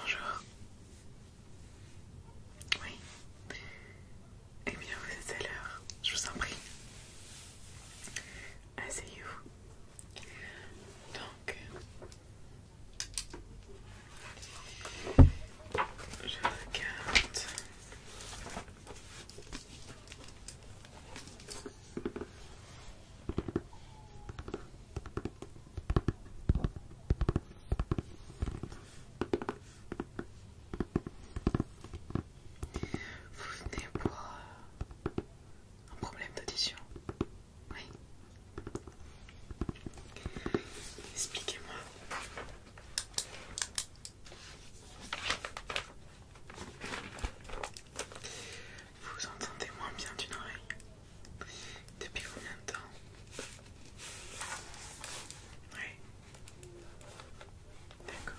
Bonjour. Oui. Et eh bien, vous êtes à l'heure. Je vous en prie. Asseyez-vous. Donc, je regarde. Vous venez pour un problème d'audition Oui. Expliquez-moi. Vous entendez moins bien d'une oreille Depuis combien de temps Oui. D'accord.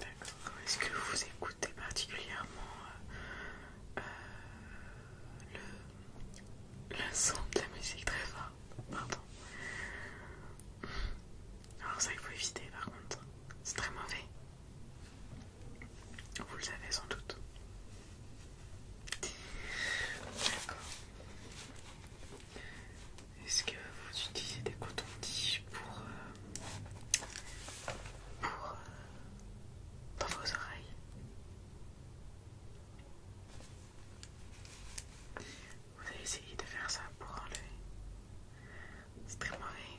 D'accord. Est-ce que vous écoutez particulièrement euh, euh, le le son de la musique très fort. Pardon. Alors ça il faut éviter par contre. C'est très mauvais. Vous le savez sans doute. D'accord. Est-ce que vous utilisez des cotons-tiges pour, euh, pour euh, dans vos oreilles vous avez essayé de faire ça pour enlever. C'est très mauvais.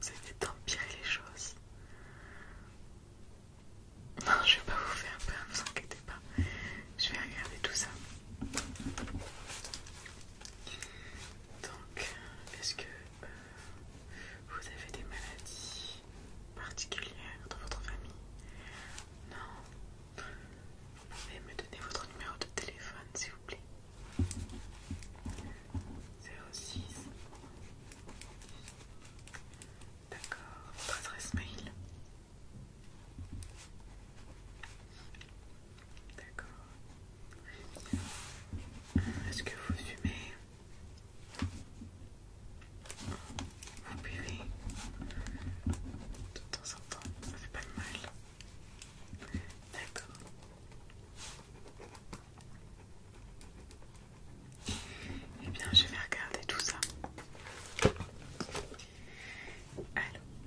Vous avez d'empirer les choses. Non, je vais pas vous faire peur, vous inquiétez pas. Je vais regarder tout ça. Donc, euh, est-ce que euh, vous avez des maladies particulière dans votre famille Non. Vous pouvez me donner votre numéro de téléphone, s'il vous plaît 06. D'accord. Votre adresse mail D'accord. Est-ce que vous fumez Appuyer de temps en temps, ça fait pas de mal. D'accord. Eh bien, je vais regarder tout ça. Allons.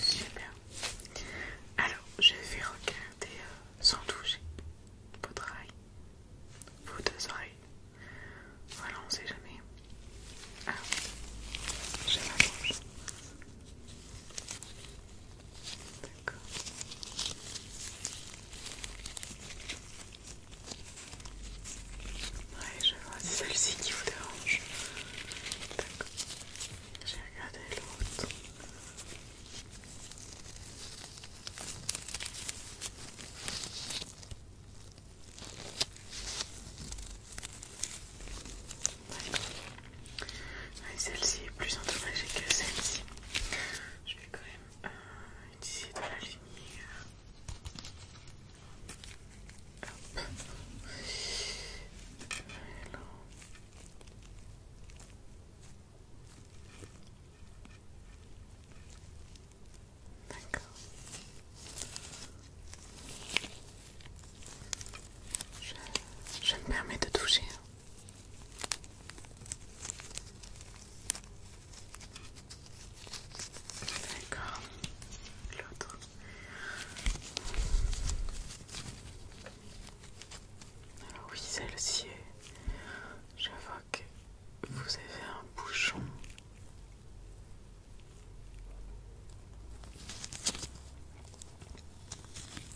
Super. Alors, je vais regarder euh, sans toucher votre vous deux oreilles. Voilà, on ne sait jamais. Ah, j'ai ma branche. D'accord. Ouais, je vois, c'est celle-ci qui vous dérange. D'accord. J'ai regardé l'autre celle-ci est plus endommagée que celle-ci. Je vais quand même euh, utiliser de la lumière. D'accord. Je, me permets de toucher. D'accord. L'autre. Alors ah oui, cest le ciel Je vois vous avez un bouchon.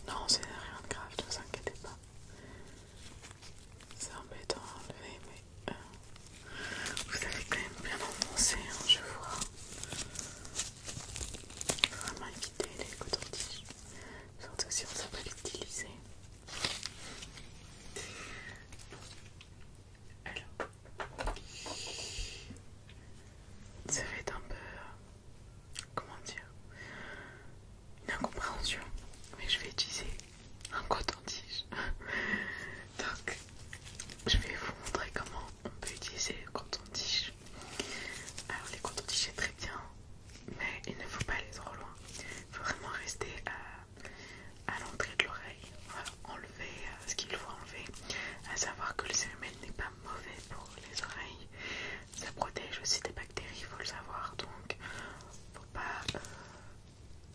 Non, c'est rien de grave, ne vous inquiétez pas. C'est embêtant à enlever, mais euh, vous avez quand même bien enfoncé, hein, je vois. Vraiment éviter les coton-tiges, surtout si on ne sait pas l'utiliser. Alors, ça fait un peu... Euh, comment dire Une incompréhension. Mais je vais utiliser un coton-tige. Donc, je vais vous montrer comment on peut utiliser le coton-tige. Alors, les coton tiges c'est très bien, mais il ne faut pas aller trop loin. Il faut vraiment rester à à l'entrée de l'oreille, euh, enlever euh, ce qu'il faut enlever, à savoir que le cérumen n'est pas mauvais pour les oreilles, ça protège aussi des bactéries, il faut le savoir, donc faut pas euh,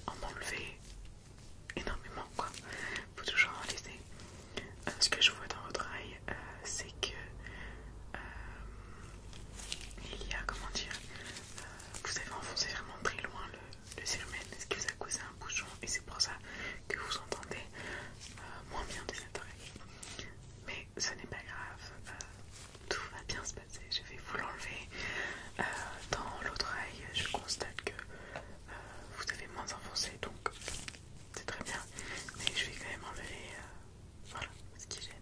en enlever énormément quoi, faut toujours en laisser. ce que je vois dans votre oreille, c'est que il y a comment dire vous avez enfoncé vraiment très loin le, le ce qui vous a causé un bouchon et c'est pour ça que vous entendez euh, moins bien de cette oreille. Mais ce n'est pas grave, euh, tout va bien se passer. Je vais vous l'enlever euh, dans l'autre oreille. Je constate que vous avez moins enfoncé donc c'est très bien, mais je vais quand même enlever ce qui gêne.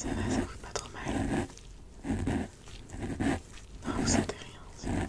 C'est vrai, ça ne coûte pas trop mal. Non, vous sentez rien, c'est bon.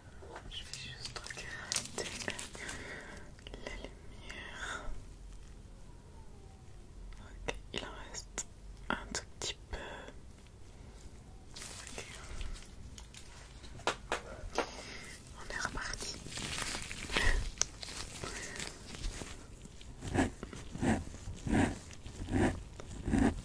Je vais juste regarder la, lumière. Ok, il en reste un tout petit peu. On est reparti.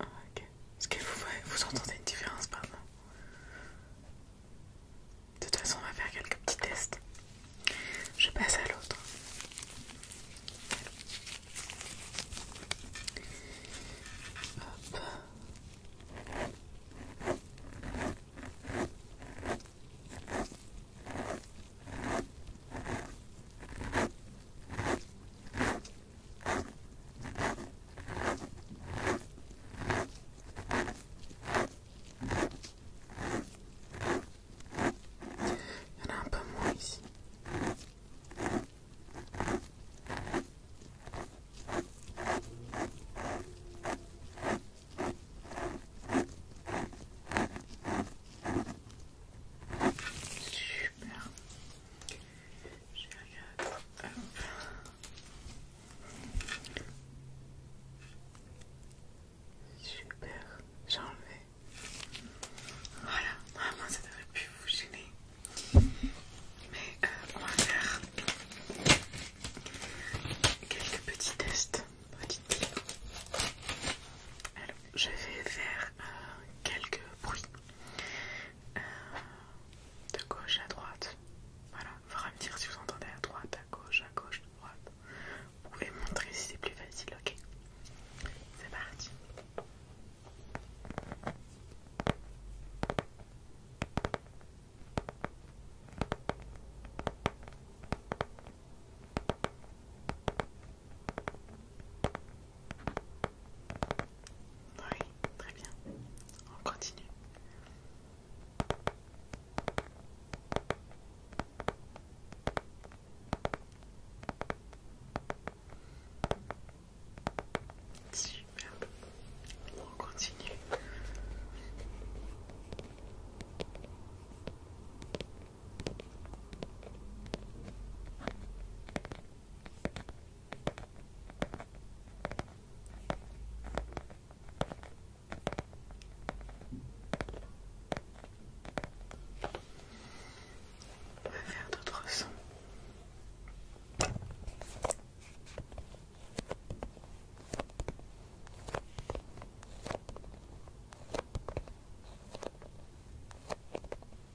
Ah, ok. Est-ce que vous, vous entendez une différence, pardon De toute façon, on va faire quelques petits tests. Je passe à l'autre. Il y en a un peu moins ici. Super. Je Super, j'ai enlevé. Voilà, normalement ça devrait plus vous gêner. Mais euh, on va faire quelques petits tests. clip. Alors, je vais faire euh, quelques bruits. Euh, de gauche à droite. Voilà, faudra me dire si vous entendez à droite, à gauche, à gauche, à droite. Vous pouvez montrer si c'est plus facile, ok C'est parti. Oui, très bien. On continue. Super. On continue. On va faire d'autres sons.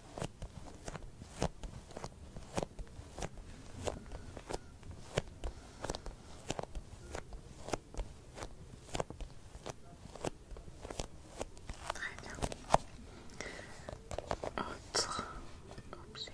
Très bien. Autre objet.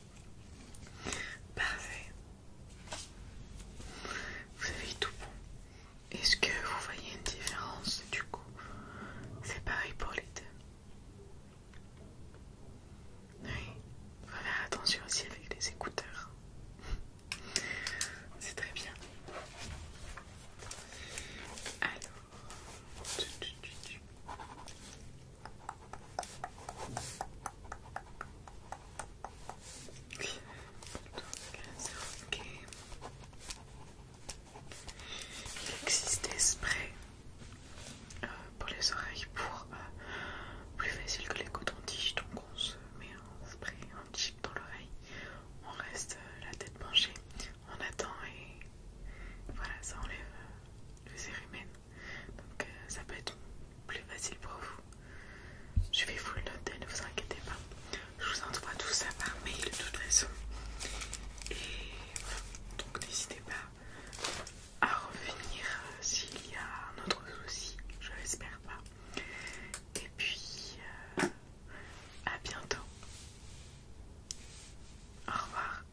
Parfait. Vous avez tout bon. Est-ce que vous voyez une différence du coup C'est pareil pour les deux. Oui, il faut faire attention aussi avec les écouteurs. C'est très bien. Alors, il existe des sprays euh, pour les oreilles pour euh, plus facile que les cotons-tiges. Donc, on se met un spray, un chip dans l'oreille. On reste euh, la tête penchée, on attend et voilà, ça enlève le les donc euh, ça peut être plus facile pour vous. Je vais vous le noter, ne vous inquiétez pas. Je vous envoie tout ça par mail de toute façon. Et Donc n'hésitez pas à revenir euh, s'il y a un autre souci. Je l'espère pas. Et puis euh, à bientôt. Au revoir.